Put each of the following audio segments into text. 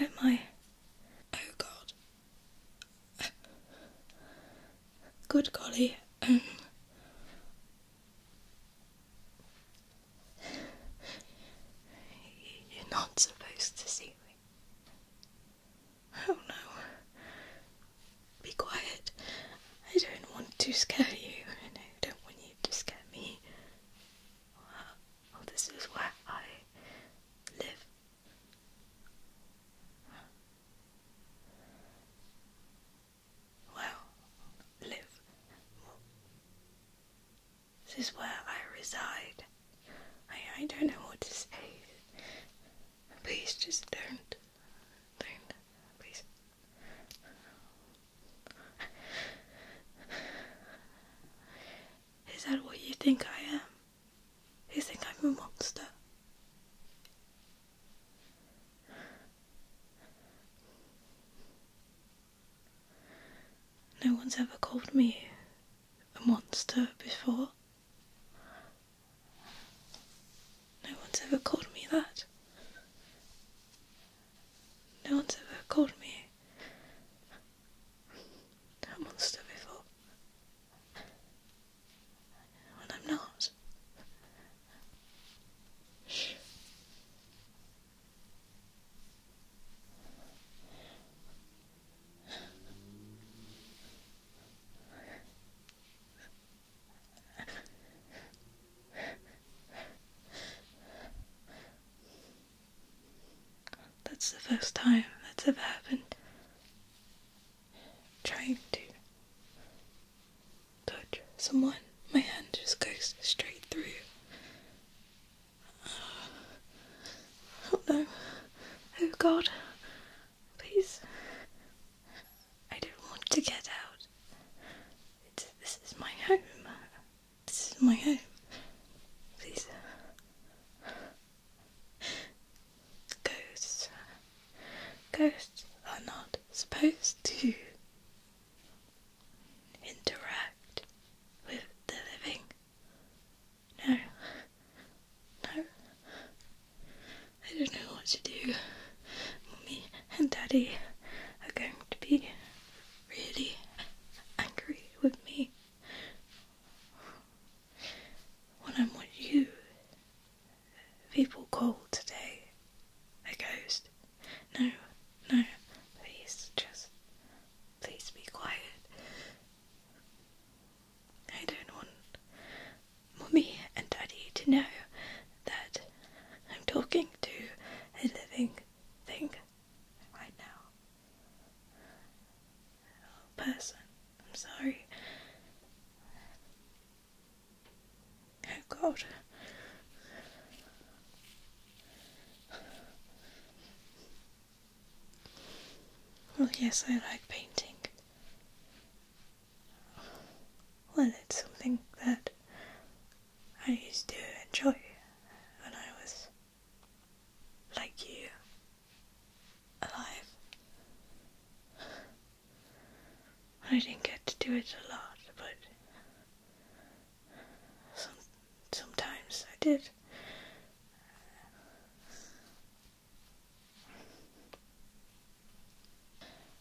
Oh my. Oh God. Good golly. Um, you're not supposed to see me. Oh no. Be quiet. I don't want to scare you, I don't want you to scare me. Well, this is where I live well, live. This is where I reside. I, I don't know what to say. Please just don't. Don't. Please. Is that what you think I am? You think I'm a monster? No one's ever called me a monster before. No one's ever called me that. No one's ever called me a monster before. I'm not. That's the first time that's ever happened. Trying to touch someone, my hand just goes straight through. Oh no. Oh god. Please. I don't want to get out. this is my home. This is my home. Please. Ghosts. Ghosts are not supposed to interact with the living. No. No. I don't know what to do. Mummy and Daddy are going to be really angry with me when I'm with you people call today a ghost. No, no, please just please be quiet. I don't want mommy and Daddy to know that I'm talking to a living thing right now. person, I'm sorry. Oh God. Well, yes, I like painting. Well, it's something that I used to enjoy when I was like you, alive. I didn't get to do it a lot, but sometimes I did.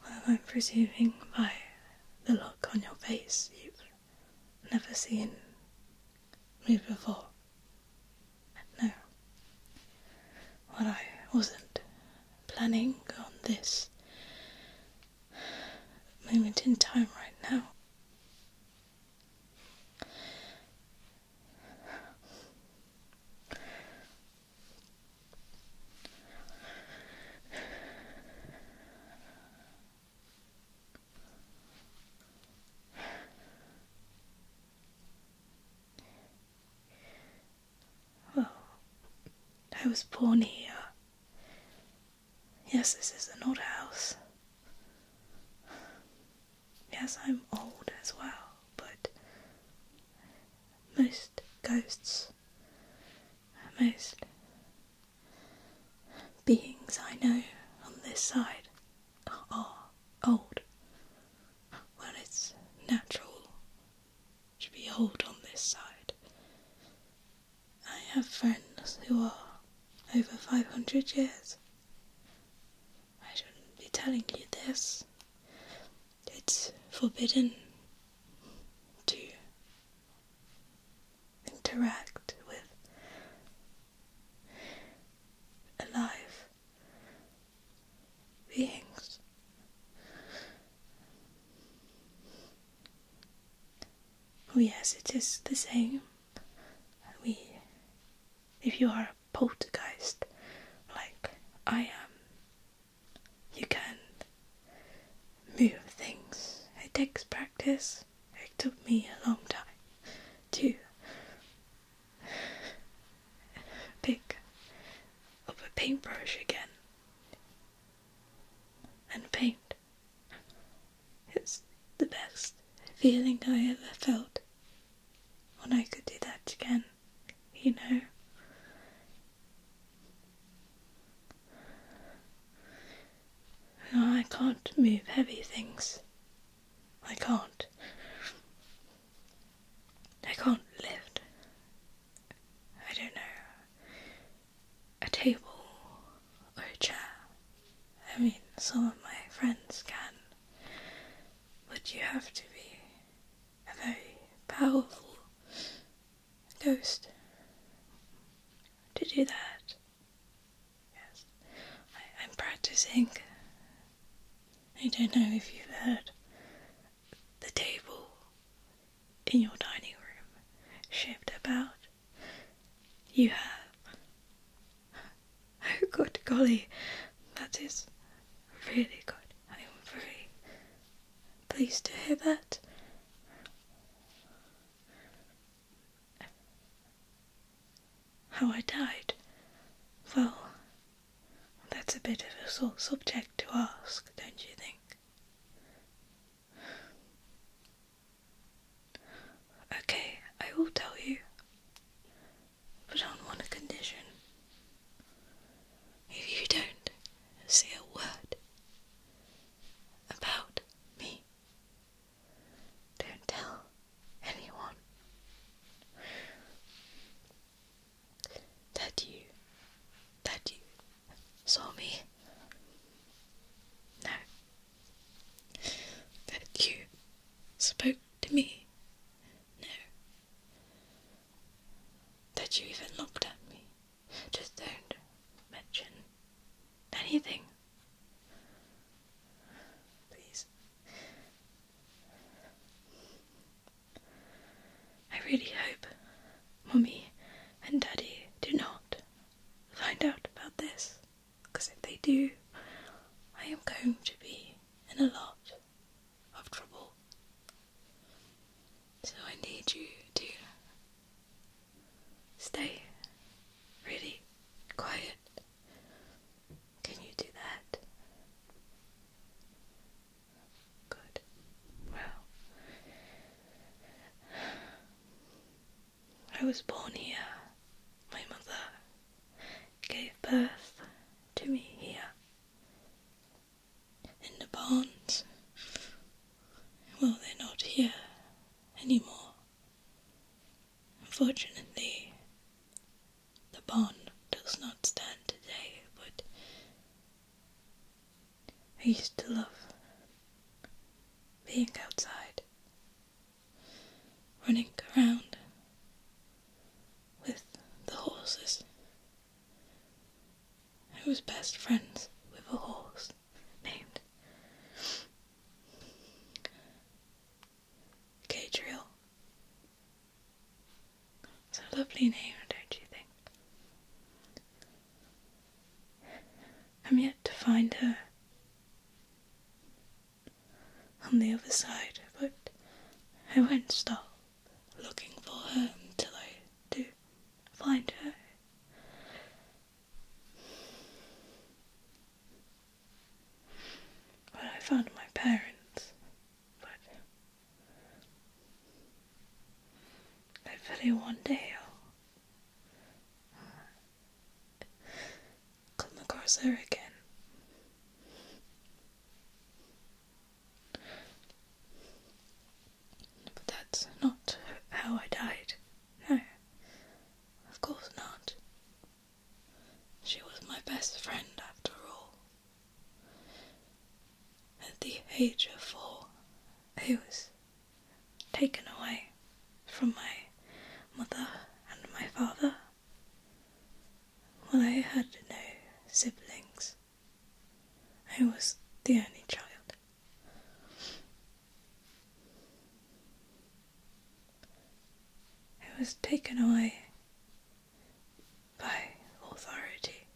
Well, I'm presuming by the look on your face you've never seen me before. No. Well, I wasn't planning on this moment in time right now. Well, oh, I was born here. Yes, this is an old house. Yes, I'm old as well, but most ghosts, most beings I know on this side are old. Well, it's natural should be old on this side. I have friends who are over 500 years. I shouldn't be telling you this. It's forbidden to interact with alive beings. Oh yes, it is the same. We, if you are a poltergeist, like I am, you can move things. It takes practice. It took me a long time to pick up a paintbrush again and paint. It's the best feeling I ever felt when I could do that again, you know. I can't move heavy things. I can't. I can't lift. I don't know a table or a chair. I mean, some of my friends can, but you have to be a very powerful ghost to do that. Yes, I, I'm practicing. I don't know if you've heard the table in your dining room shift about. You have. Oh, good golly, that is really good. I am very pleased to hear that. How I died? Well, that's a bit of a sore subject to ask, don't you think? Okay, I will tell you, but on one condition. If you don't say a word about me, don't tell anyone that you that you saw me no that you spoke to me no that you even looked at me just don't mention anything please I really hope Mummy and Daddy do not find out about this, because if they do, I am going to be in a lot of trouble. So I need you to stay really quiet. Can you do that? Good. Well, I was born here. My mother gave birth to me here. In the barns. Well, they're not here anymore. Unfortunately, the barn does not stand today, but I used to love being outside, running around with the horses. I was best friends with a horse named Gadriel. It's a lovely name, don't you think? I'm yet to find her on the other side, but I won't stop looking for her until I do find her. Well, I found my parents, but Hopefully one day I'll come across her again. But that's not how I died. No. Of course not. She was my best friend after all. At the age of four, I was taken away from my mother and my father While I had no siblings. I was the only child. I was taken away by authority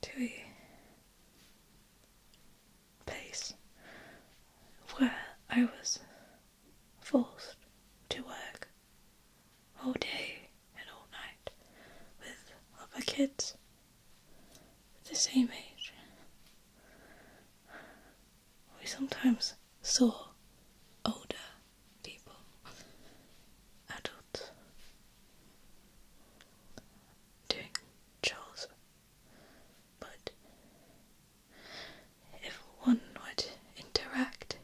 to a place where I was forced to work all day and all night with other kids the same age. We sometimes saw older people, adults, doing Charles, but if one would interact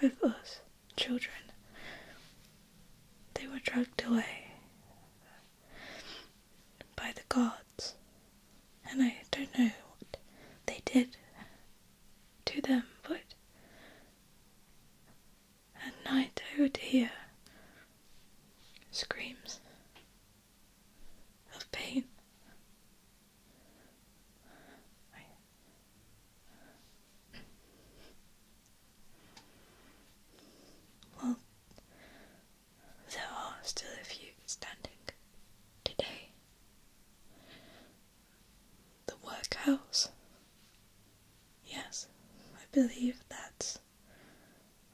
with us children, they were dragged away by the gods, and I don't know what they did to them, but at night, I would hear screams of pain. well, there are still a few standing today. The workhouse Yes, I believe that's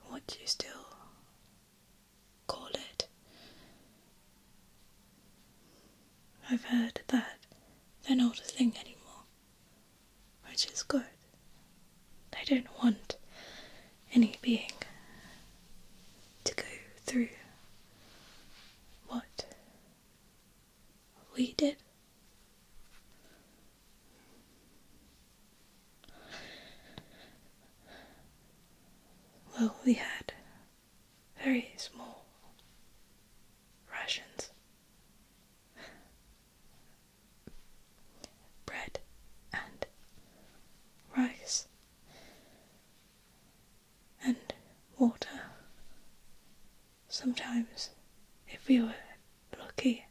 what you still call it. I've heard that they're not a thing anymore, which is good. They don't want any being to go through what we did. Well, we had very small rations bread and rice and water Sometimes, if we were lucky,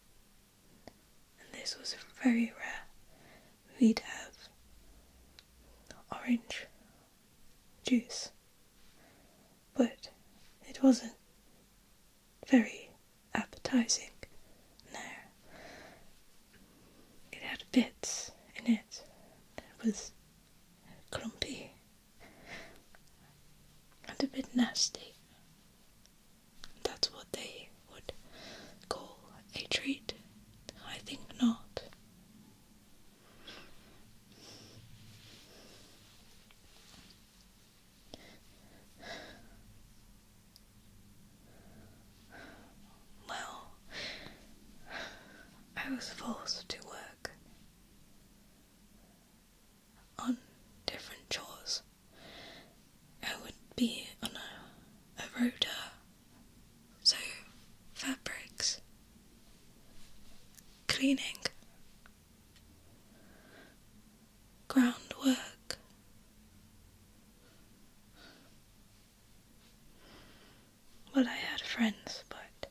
and this was very rare, we'd have orange juice. But it wasn't very appetizing. No. It had bits in it It was clumpy and a bit nasty. That's what they would call a treat. I think not. Well, I was forced to work on different chores. I would be on a, a rotor, so fabrics, cleaning, groundwork. Well, I had friends, but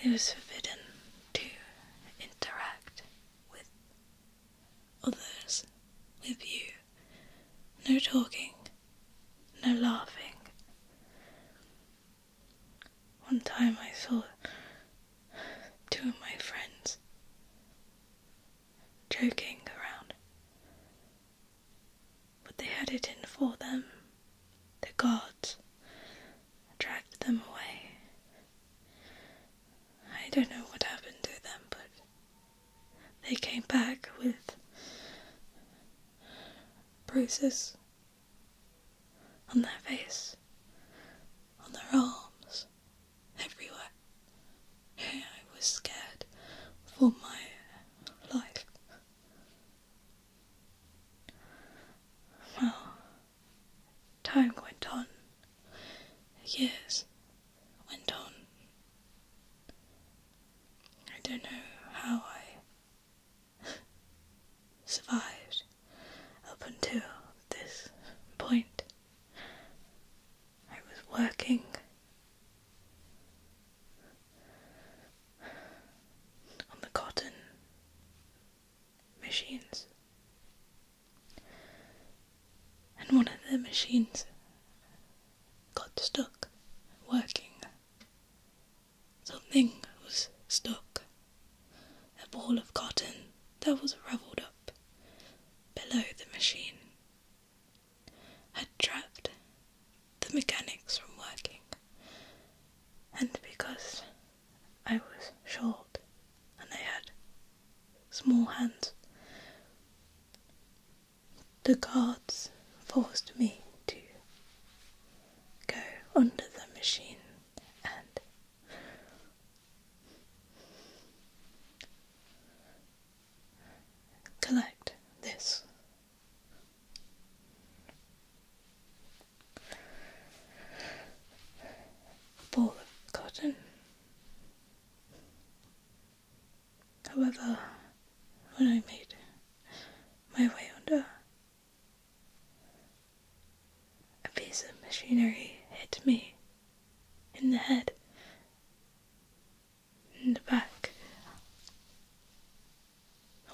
it was forbidden to interact with others, with you. No talking, no laughing. One time I saw two of my friends joking around, but they had it in for them the gods dragged them away. I don't know what happened to them, but they came back with bruises on their face, on their arms, everywhere. I was scared for my life. Well, time went on. Years went on. I don't know how I survived up until this point. I was working on the cotton machines. And one of the machines got stuck working. Something was stuck. A ball of cotton that was ravelled up below the machine had trapped the mechanics from working, and because I was short and I had small hands, the guards forced me to go under the machine and collect this Ball of cotton. However, when I made my way under, a piece of machinery hit me in the head, in the back,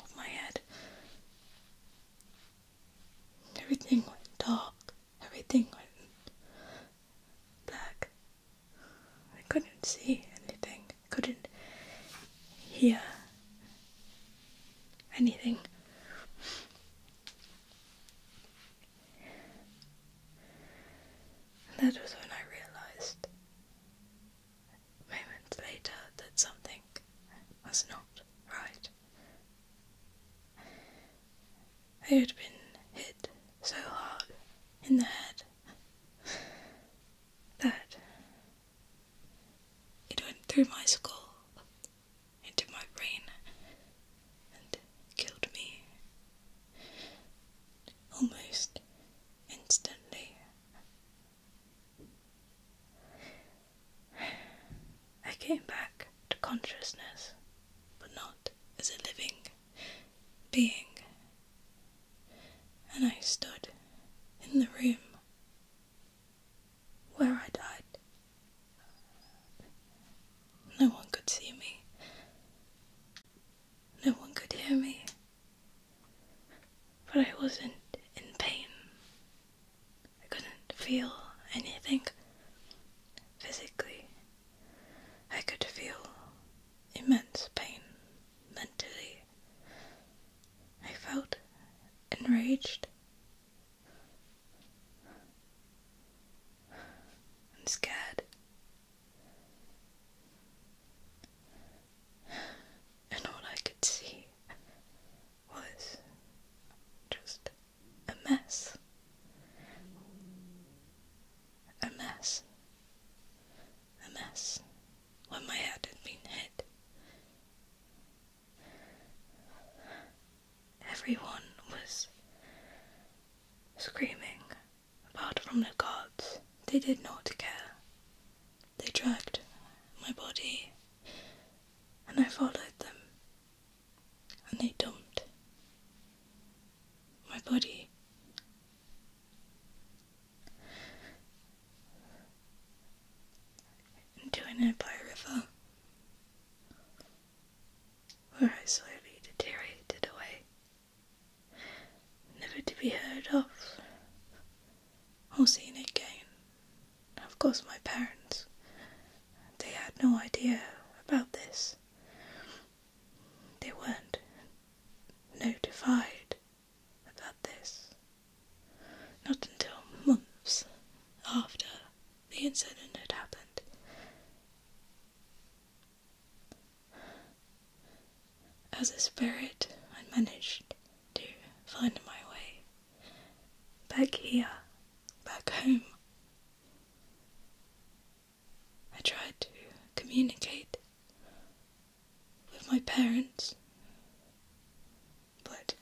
of my head. Everything went dark. Everything went black. I couldn't see anything. couldn't hear anything. that was when I realized moments later that something was not right. They had been hit so hard in the head that it went through my skull into my brain and killed me almost instantly. I came back to consciousness, but not as a living being. And I stood in the room where I died. No one could see me, no one could hear me, but I wasn't in pain I couldn't feel anything physically. I could feel immense pain mentally. I felt enraged and scared and all I could see was just a mess. A mess. A mess. When my head had been hit. Everyone was screaming, apart from the guards. They did not care. They dragged my body and I followed them, and they dumped my body. Into a nearby river, where I slowly deteriorated away, never to be heard of or seen again. Of course, my parents, they had no idea about this. They weren't notified about this. Not until months after the incident had happened. As a spirit, I managed to find my way back here, back home. I tried to communicate with my parents, but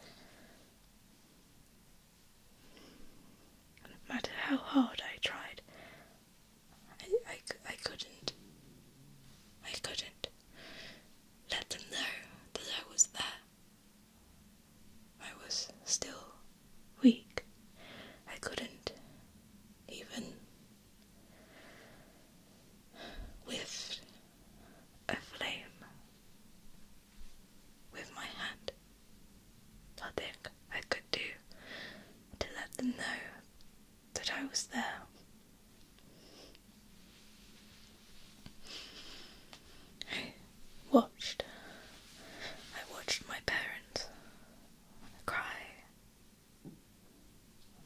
no matter how hard I tried, I, I, I couldn't. I couldn't let them know that I was there. I was still weak. I couldn't even whiff a flame with my hand. Nothing I could do to let them know that I was there. I watched. I watched my parents cry,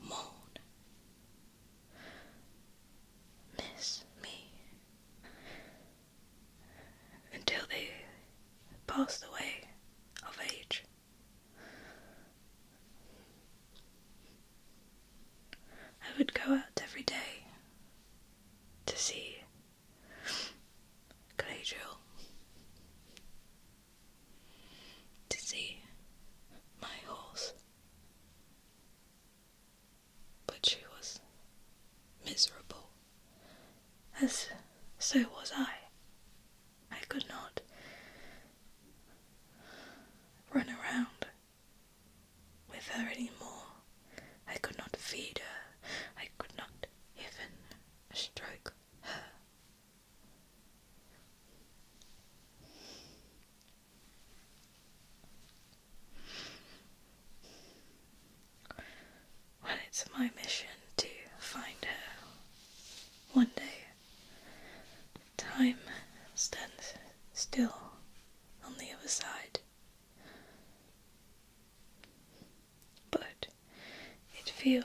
mourn, miss me until they passed away of age. I would go out every day to see Glacial, to see my horse, but she was miserable, as so was I. I could not run around with her anymore, I could not feed her. I could not even stroke her. Well, it's my mission to find her one day. Time stands still on the other side, but it feels.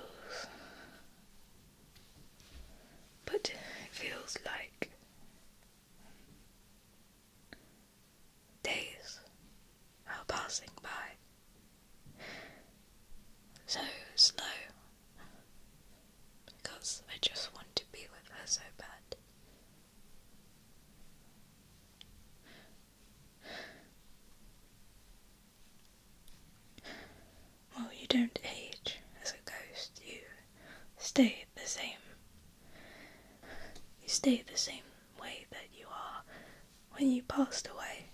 But it feels like days are passing by so slow because I just want to be with her so bad. Well, you don't age as a ghost, you stay the same. You stay the same way that you are when you passed away.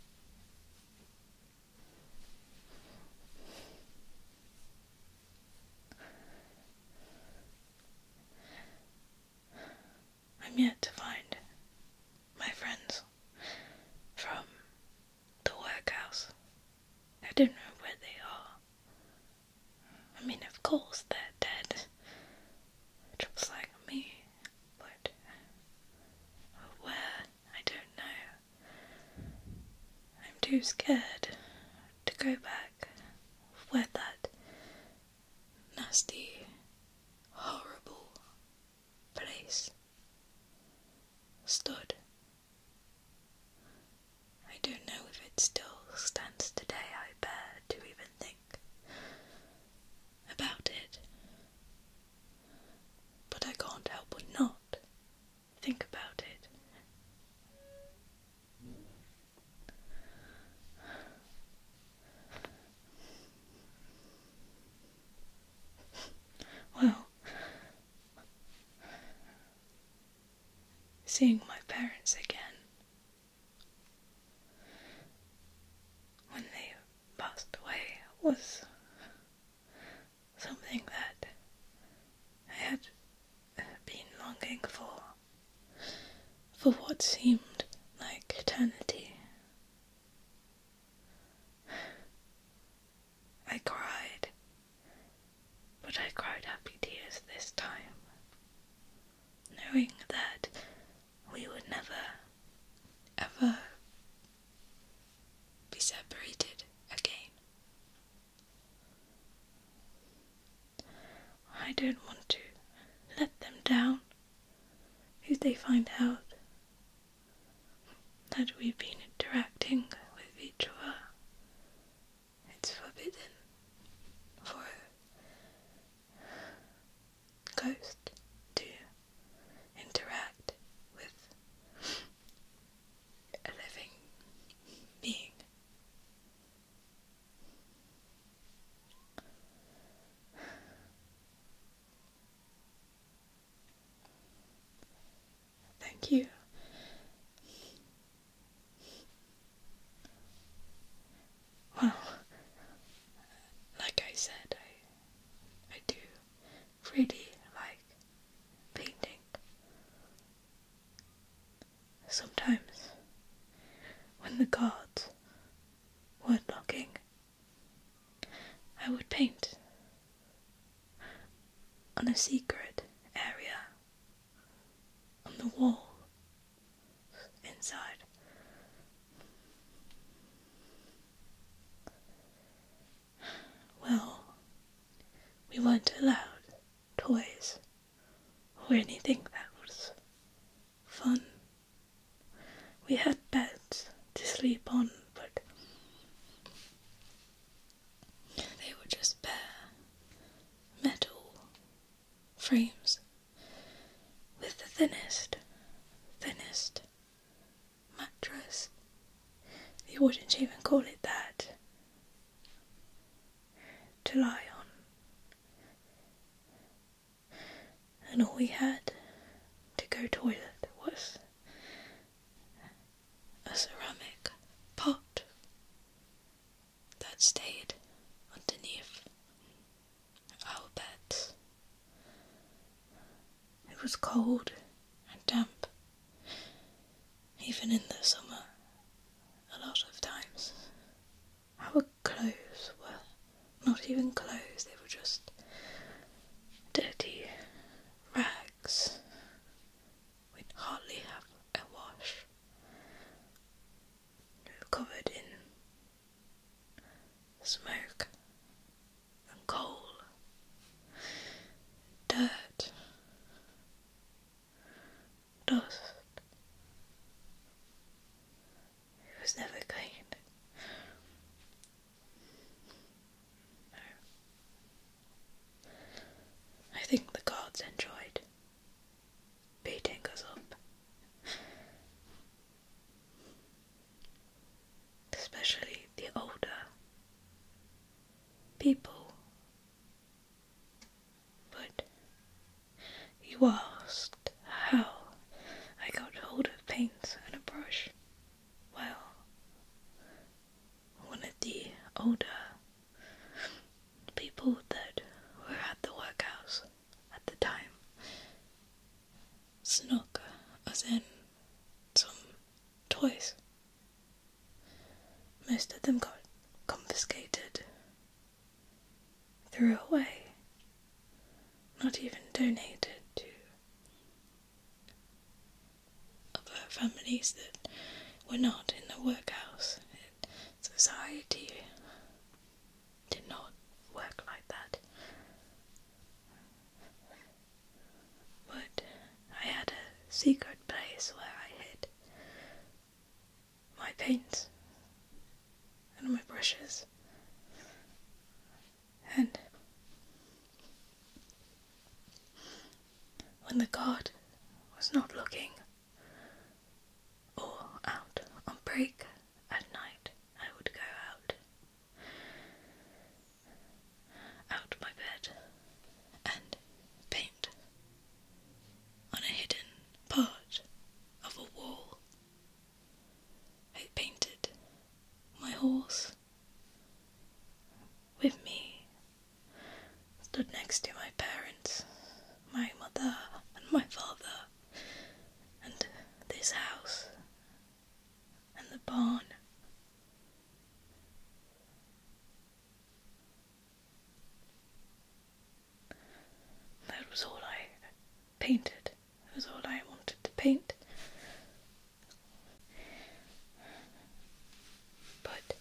I'm yet to find my friends from the workhouse. I don't know where they are. I mean, of course, they're dead, just like me, but where, I don't know. I'm too scared to go back where that nasty, horrible place stood. I don't know if it still stands today, I bear to even think about it. But I can't help but not Think about it. Well, seeing my parents again when they passed away was something that I had been longing for for what seemed like eternity. I cried, but I cried happy tears this time, knowing that we would never, ever be separated again. I don't want to let them down if they find out that we've been interacting with each other. It's forbidden for a ghost to interact with a living being. Thank you. Well, like I said, I I do really like painting. Sometimes, when the guards weren't looking, I would paint on a secret area on the wall inside. Well, we weren't allowed toys, or anything that was fun. We had beds to sleep on, but they were just bare metal frames with the thinnest, thinnest mattress. They wouldn't even call it that to lie on. And all we had to go toilet was a ceramic pot that stayed underneath our bed. It was cold and damp even in the summer, a lot of times. Our clothes were not even clothes, they were just dirty rags. we hardly had a wash. We were covered in smoke and coal, dirt, dust. It was never cleaned. I think the gods enjoyed beating us up. Especially the older people but you asked how I got hold of paints and a brush. Well, one of the older people that were at the workhouse at the time snuck us in some toys most of them got confiscated, threw away, not even donated to other families that were not in the workhouse. society did not work like that. But I had a secret place where I hid my paints and my brushes. And when the guard was not looking or out on break at night, I would go out, out my bed, and paint on a hidden part of a wall. I painted my horse with me, stood next to my parents, my mother, and my father, and this house, and the barn. That was all I painted. That was all I wanted to paint. But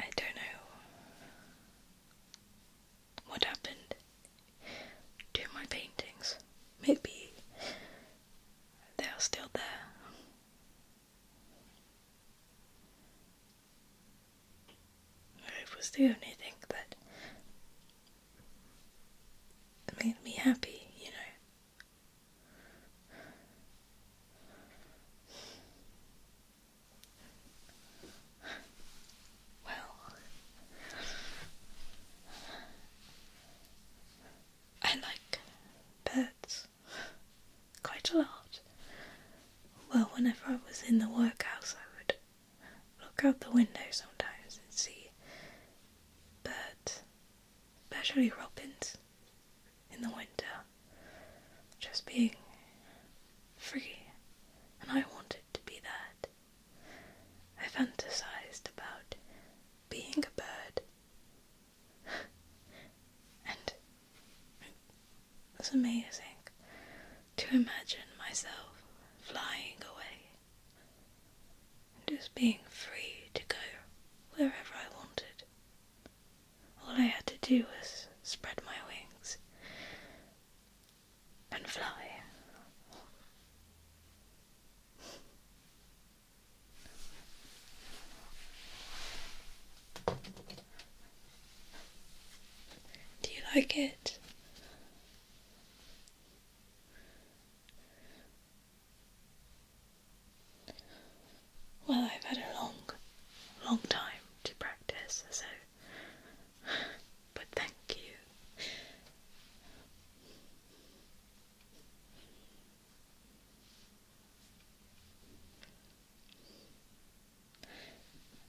I don't know what happened to my paintings. Maybe they are still there. It was the only thing that made me happy, you know. Well, I like birds quite a lot. Well, whenever I was in the workhouse, I would look out the window sometimes and see birds, especially robins, in the winter, just being free, and I wanted to be that. I fantasized about being a bird and it was amazing to imagine myself flying away just being free to go wherever I wanted. All I had to do was spread my wings and fly. Do you like it? Well, i had a long, long time to practice, so. But thank you.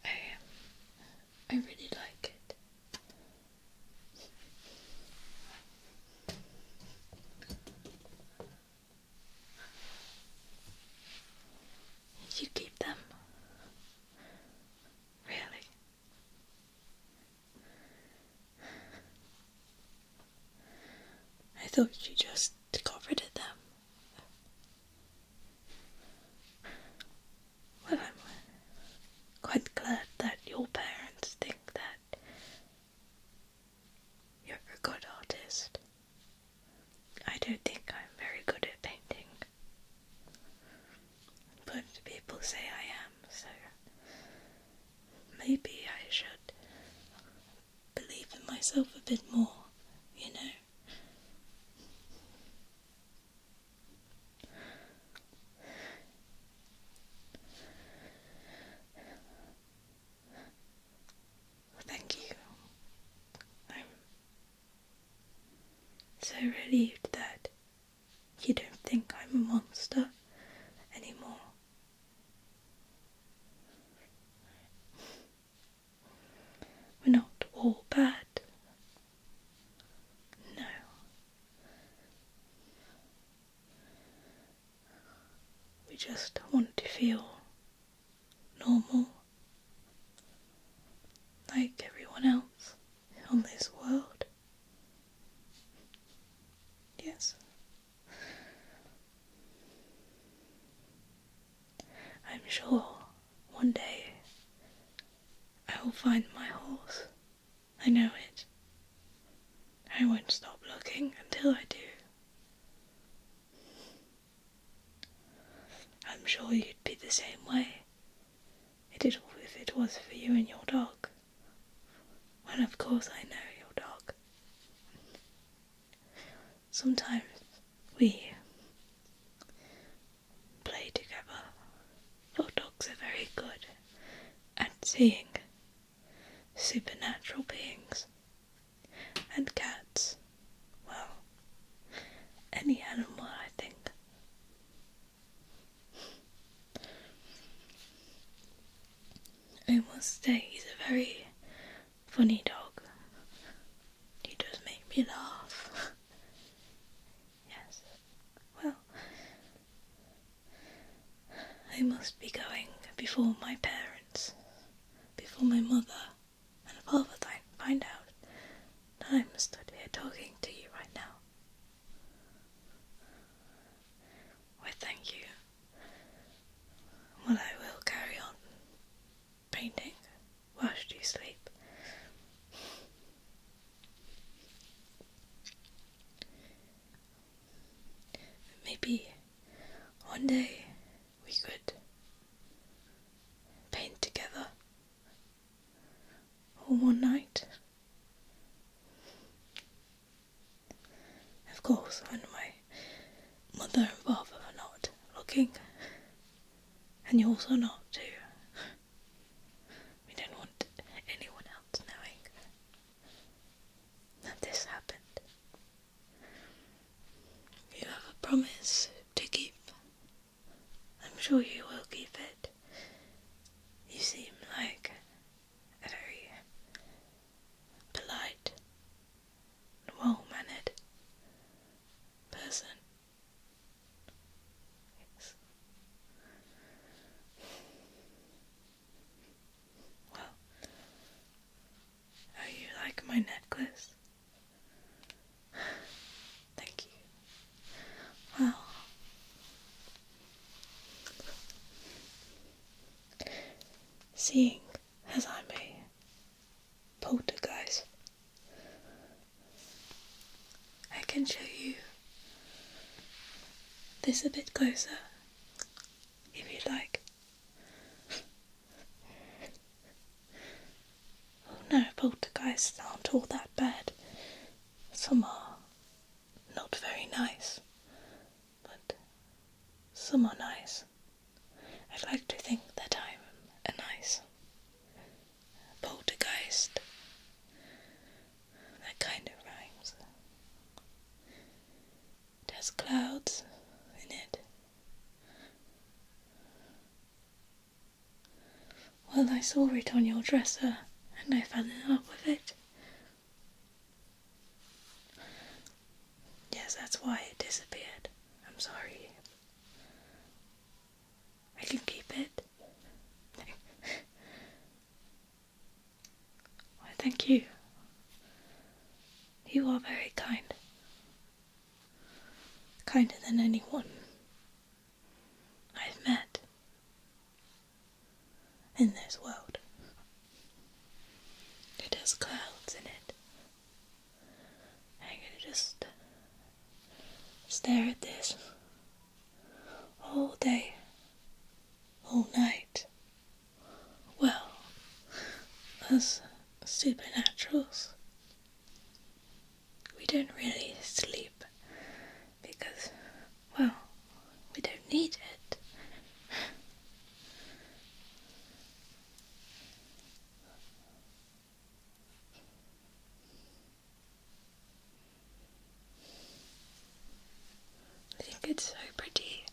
I I really like it. You keep them? Really? I thought you just got rid of them. Well, I'm quite glad that your parents think that you're a good artist. I don't think I'm very good at painting, but people say I am, so maybe I should believe in myself a bit more, you know. Thank you. I'm so relieved that you don't think I'm a monster anymore. We're not all bad. No. We just want to feel normal, like everyone else on this world. Yes. I'm sure one day I will find my horse. I know it. I won't stop looking until I do. I'm sure you'd be the same way if it was for you and your dog. Well, of course, I know your dog sometimes we play together. Your dogs are very good at seeing supernatural beings and cats. Well, any animal, I think. I must say, he's a very funny dog. He does make me laugh. yes. Well, I must be going before my parents, before my mother and father find out that I'm stood here talking to you right now. Well, thank you well, I will carry on painting whilst you sleep. Maybe one day we could paint together or one night. Of course, when my mother and father are not looking, and you're also not too. We don't want anyone else knowing that this happened. You have a promise to keep. I'm sure you will keep it. You seem like a very polite well mannered person. Well, how you like my necklace? Thank you. Well, seeing as I'm a poltergeist. I can show you this a bit closer if you'd like. oh no, poltergeists aren't all that bad. Some are not very nice, but some are nice. I'd like to think that I'm a nice poltergeist. That kind of rhymes. It clouds in it. Well, I saw it on your dresser and I fell in love with it. Yes, that's why it disappeared. I'm sorry. I can keep it. Why, thank you. You are very kind. Kinder than anyone I've met in this world. It has clouds in it. I'm gonna just stare at this all day, all night. Well, as supernaturals, we don't really sleep because, well, we don't need it. I think it's so pretty.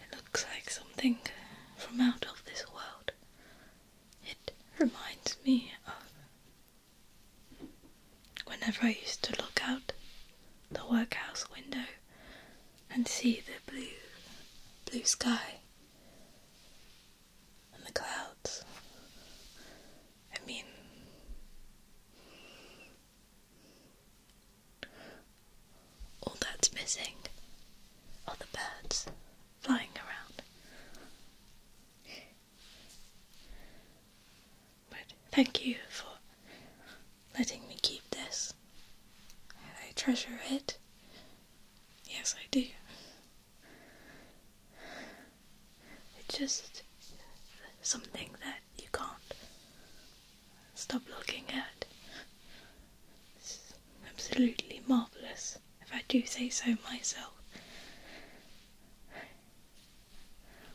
It looks like something from out of this world. It reminds me of Whenever I used to look out the workhouse window and see the blue, blue sky and the clouds, I mean, all that's missing are the birds flying around. But thank you for letting me keep this. I treasure it. Yes, I do. It's just something that you can't stop looking at. It's absolutely marvellous, if I do say so myself.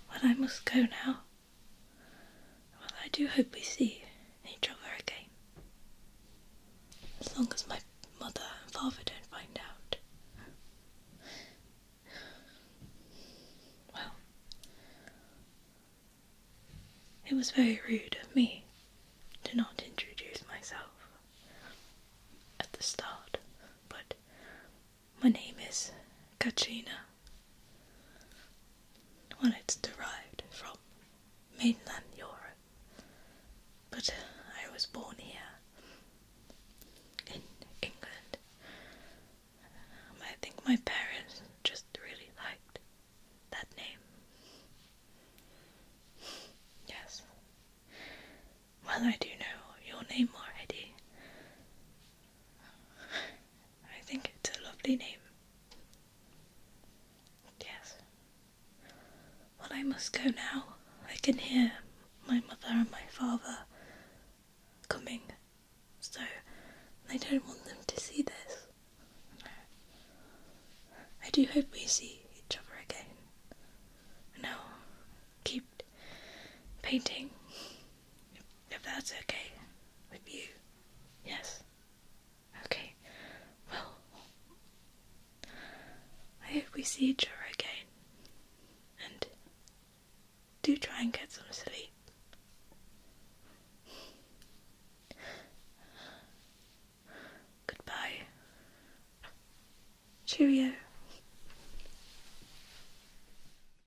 Well, I must go now. Well, I do hope we see each other again. As long as my mother and father don't find out. Well, it was very rude of me to not introduce myself at the start, but my name is Katrina. Well, it's derived from mainland Europe, but I was born here in England. Um, I think my parents just really liked that name. Yes. Well, I do know your name already. I think it's a lovely name. Yes. Well, I must go now. I can hear my mother and my father coming, so I don't want them to see this. I do hope we see each other again. And I'll keep painting. If, that's okay with you. Yes. Okay. Well, I hope we see each other again. And do try and get some sleep. Goodbye. Cheerio.